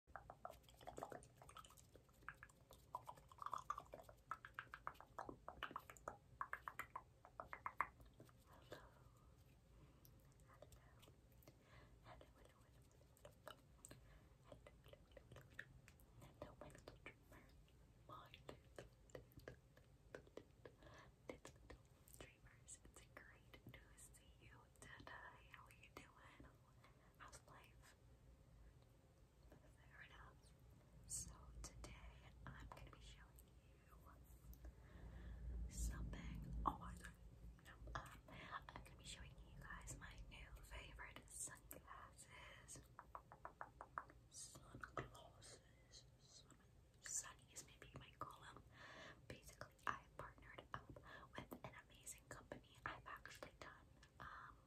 little dreamers. It's great to see you. Dada, how are you doing? How's life? Fair enough. So today I'm gonna be showing you something. Oh, no, I'm gonna be showing you guys my new favorite sunglasses. Sunglasses. Sun sunnies, maybe you might call them. Basically, I have partnered up with an amazing company. I've actually done um,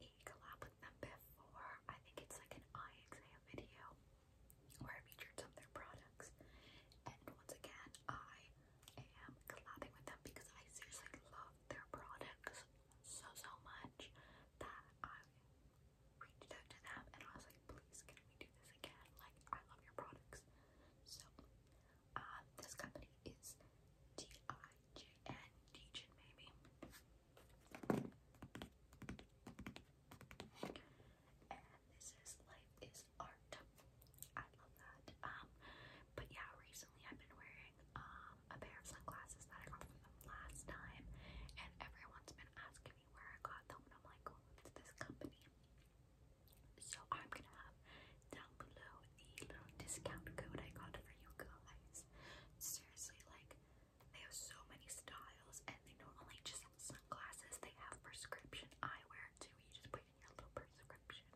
a collab with them before. I think it's like an eye exam video where I featured some of their products. And once again, I am collabing with them because I seriously love their products so, so much that I reached out to them and I was like, please, can we do this again? Like, I love your products. So, um, this company is D-I-J-N, maybe. And this is Life is Art. I love that. Um, but yeah, recently I've been wearing um a pair of sunglasses that I got from them last time, and everyone's been asking me where I got them, and I'm like, it's this company. So I'm gonna have down below the little discount code I got for you guys. Seriously, like they have so many styles and they not only just have sunglasses, they have prescription eyewear too. You just put in your little prescription.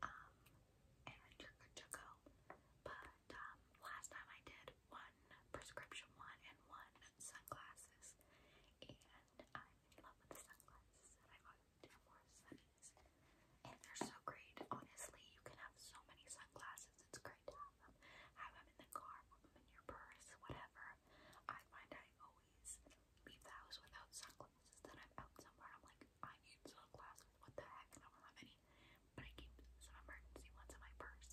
Um and you're good to go. But um, last time I did one prescription one and one sunglasses and I I ended up with sunglasses that I got in Morrison's. And they're so great. Honestly, you can have so many sunglasses. It's great to have them. Have them in the car, put them in your purse, whatever. I find I always leave the house without sunglasses. Then I'm out somewhere I'm like, I need sunglasses. What the heck? I don't have any. But I keep some emergency ones in my purse.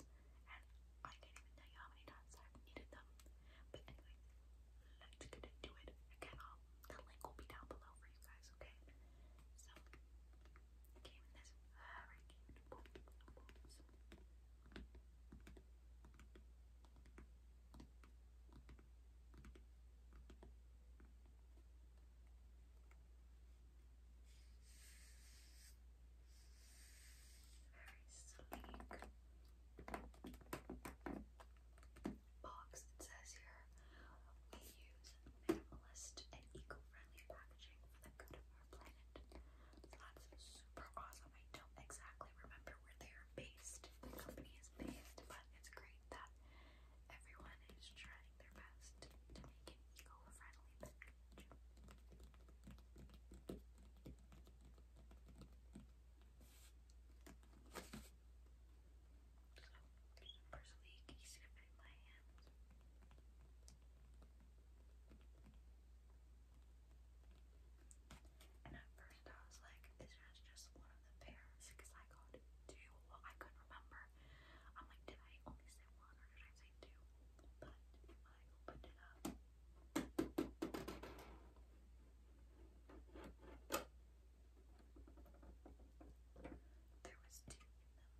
And I can't even tell you how many times I've needed them. But anyway, let's get into it. Again, i the link will be down below for you guys, okay? So, came this very sleek box. It says here we use minimalist and eco-friendly packaging for the good of our planet. that's super awesome. I don't exactly remember where they are based. The company is based, but it's great that everyone is trying their best to make an eco-friendly personally easier to my hands. And at first I was like, this is just one of the pairs because I got two. I couldn't remember. I'm like, did I only say one or did I say two? But when I opened it up, there was two of them,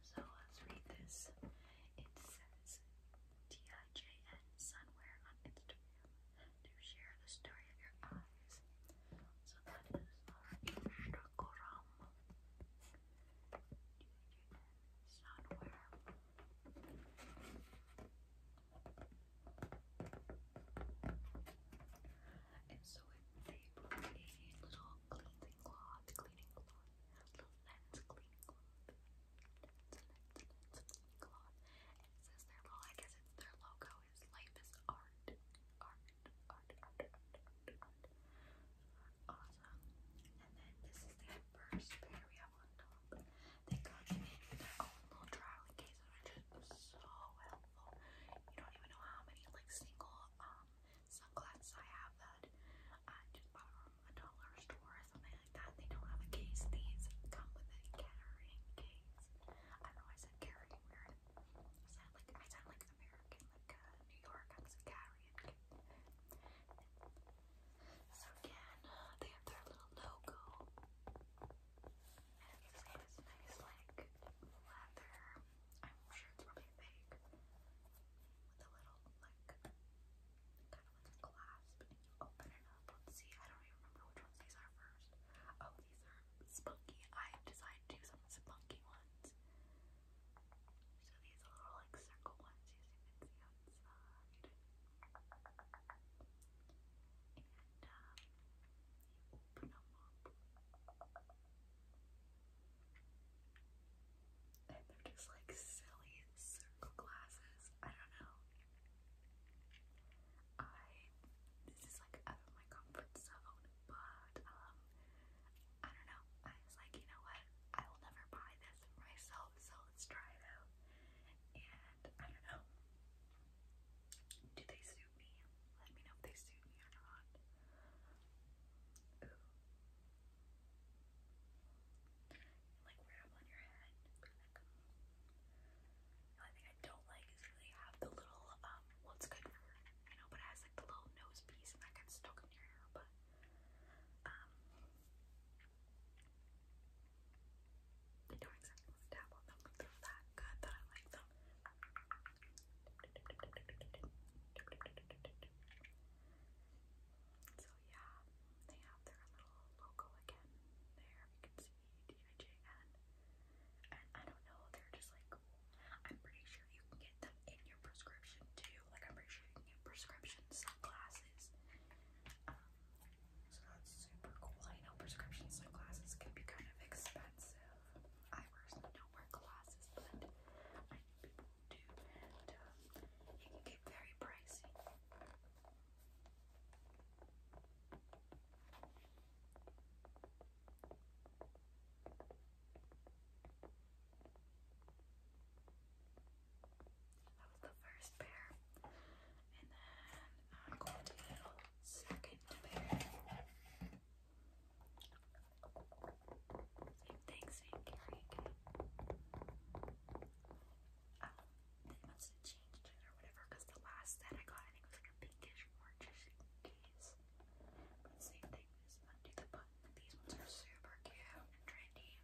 so let's read this. It says TIJN Sunwear on Instagram to share the story of your eyes. So that is Instagram. Sunwear. And so they put little cleansing cloth, cleaning cloth, little cleaning cloth, cleaning cloth. And says their logo, is life is art. Awesome. And then this is the first pair we have on top. They come in their own little traveling case, which is so helpful. You don't even know how many like single um sunglasses I have that I just bought from a dollar store or something like that. They don't have a case. These come with a carrying case. I know I said carrying weird. I sound like I sound like American, like uh, New York. I'm carrying. And so again, they have their little logo. And this guy has nice like leather. I'm sure it's probably fake. With a little like kind of like clasp and you open it up. let see, I don't remember which ones these are first. Oh, these are spunky. I've decided to do some spunky ones. So these little like circle ones you can see outside. And um, you open them up. And they're just like silly circle glasses. I don't know. I this is like out of my comfort zone, but um I don't know. I was like, you know what? I will never buy this myself, so let's try it out. And I don't know. Do they suit me? Let me know they suit me or not. like wear them on your head. Um, the only thing I don't like is really have the little um what's good for you know, but it has like the little nose piece and that gets stuck in your hair, but um, they don't exactly want to but they're that good that I like them. So yeah, they have their little logo again there. You can see D I J N, and I don't know, they're just like I'm pretty sure you can get them in your prescription too. Like I'm pretty sure you can get sunglasses. Um, so that's super cool. I know prescription sunglasses can be kind of expensive. I personally don't wear glasses, but I know people do, um, it can get very pricey. That was the first pair. And then uh, I'm the second pair. Same thing, same carry, oh, they must have changed it or whatever because the last that I got, I think was like a pinkish, orangish case. But same thing, these ones are super cute and trendy.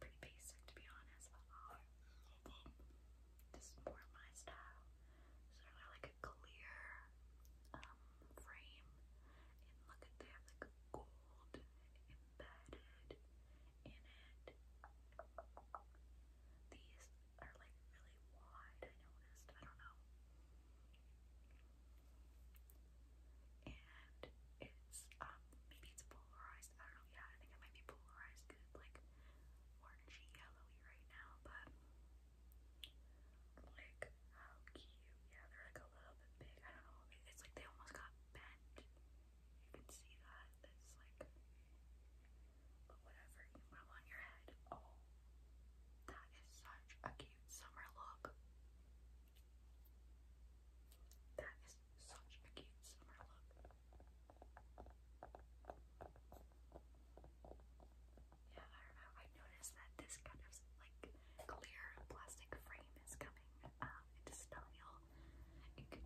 Pretty basic to be honest, uh, this is more my style. Sort of like a clear um, frame, and look at they have like gold embedded in it. These are like really wide, I noticed. I don't know. And it's um maybe it's polarized. I don't know. Yeah, I think it might be polarized like orangey yellowy right now, but like how cute. Yeah, they're like a little bit big. I don't know. It's like they almost got bent. You can see that. It's like but whatever you have on your head, oh, that is such a cute summer look. That is such a cute summer look. Yeah, I don't know. I noticed that this kind of like clear plastic frame is coming um, into style.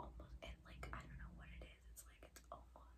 almost, it like I don't know what it is. It's like it's almost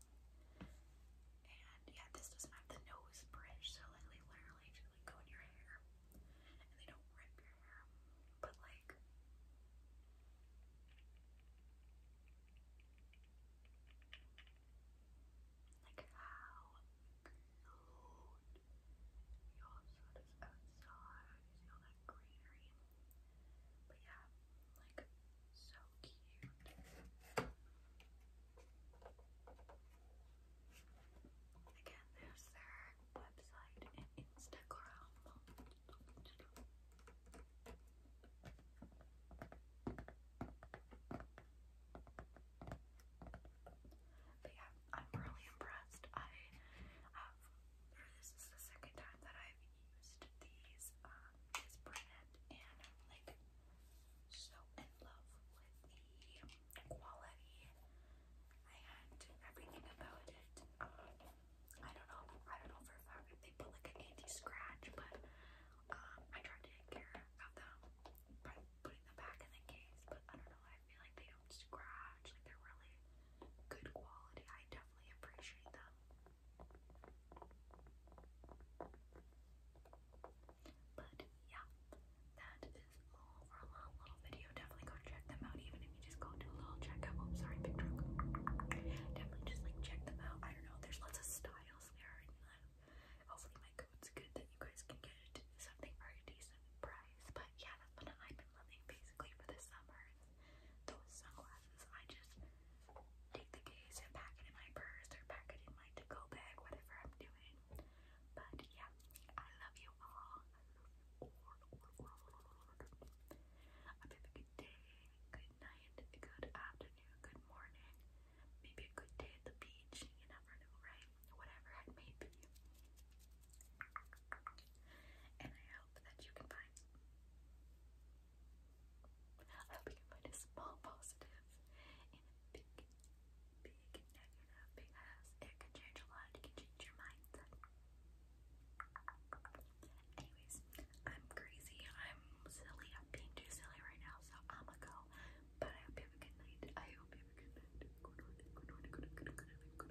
And yeah, this doesn't have the nose bridge, so like they literally just like go in your hair. And they don't rip your hair. But like like how glowed you also just outside, you see that greenery but yeah, like so cute. Again, there's their website and Instagram. But yeah, I'm really impressed. I uh, this is the second time that I've used these, um, this brand and like so in love with the quality and everything about it. Um, I don't know, I don't know for a if they put like an anti-scratch, but um, I tried to take care of them by putting them back in the case, but I don't know, I feel like they don't scratch, like they're really good quality. I definitely appreciate them. But yeah, that is all for a little video. Definitely go check them out, even if you just go do a little checkup. Oh, sorry, big Definitely just like check them out. I don't know. There's lots of styles there, and uh, hopefully my code's good that you guys can get something for a decent price. But yeah, that's what I've been loving basically for this summer those sunglasses. I just take the case and pack it in my purse or pack it in my to go bag, whatever I'm doing. But yeah, I love you all. i a good day, good night, good afternoon, good morning, maybe a good day at the beach. You never know, right? Whatever it may be. And I hope that you can find I hope you can find a small positive in a big, big negative because it can change a lot. It can change your mindset. Anyways, I'm crazy. I'm silly. I'm being too silly right now, so I'ma go. But I hope you have a good night. I hope you have a Good night.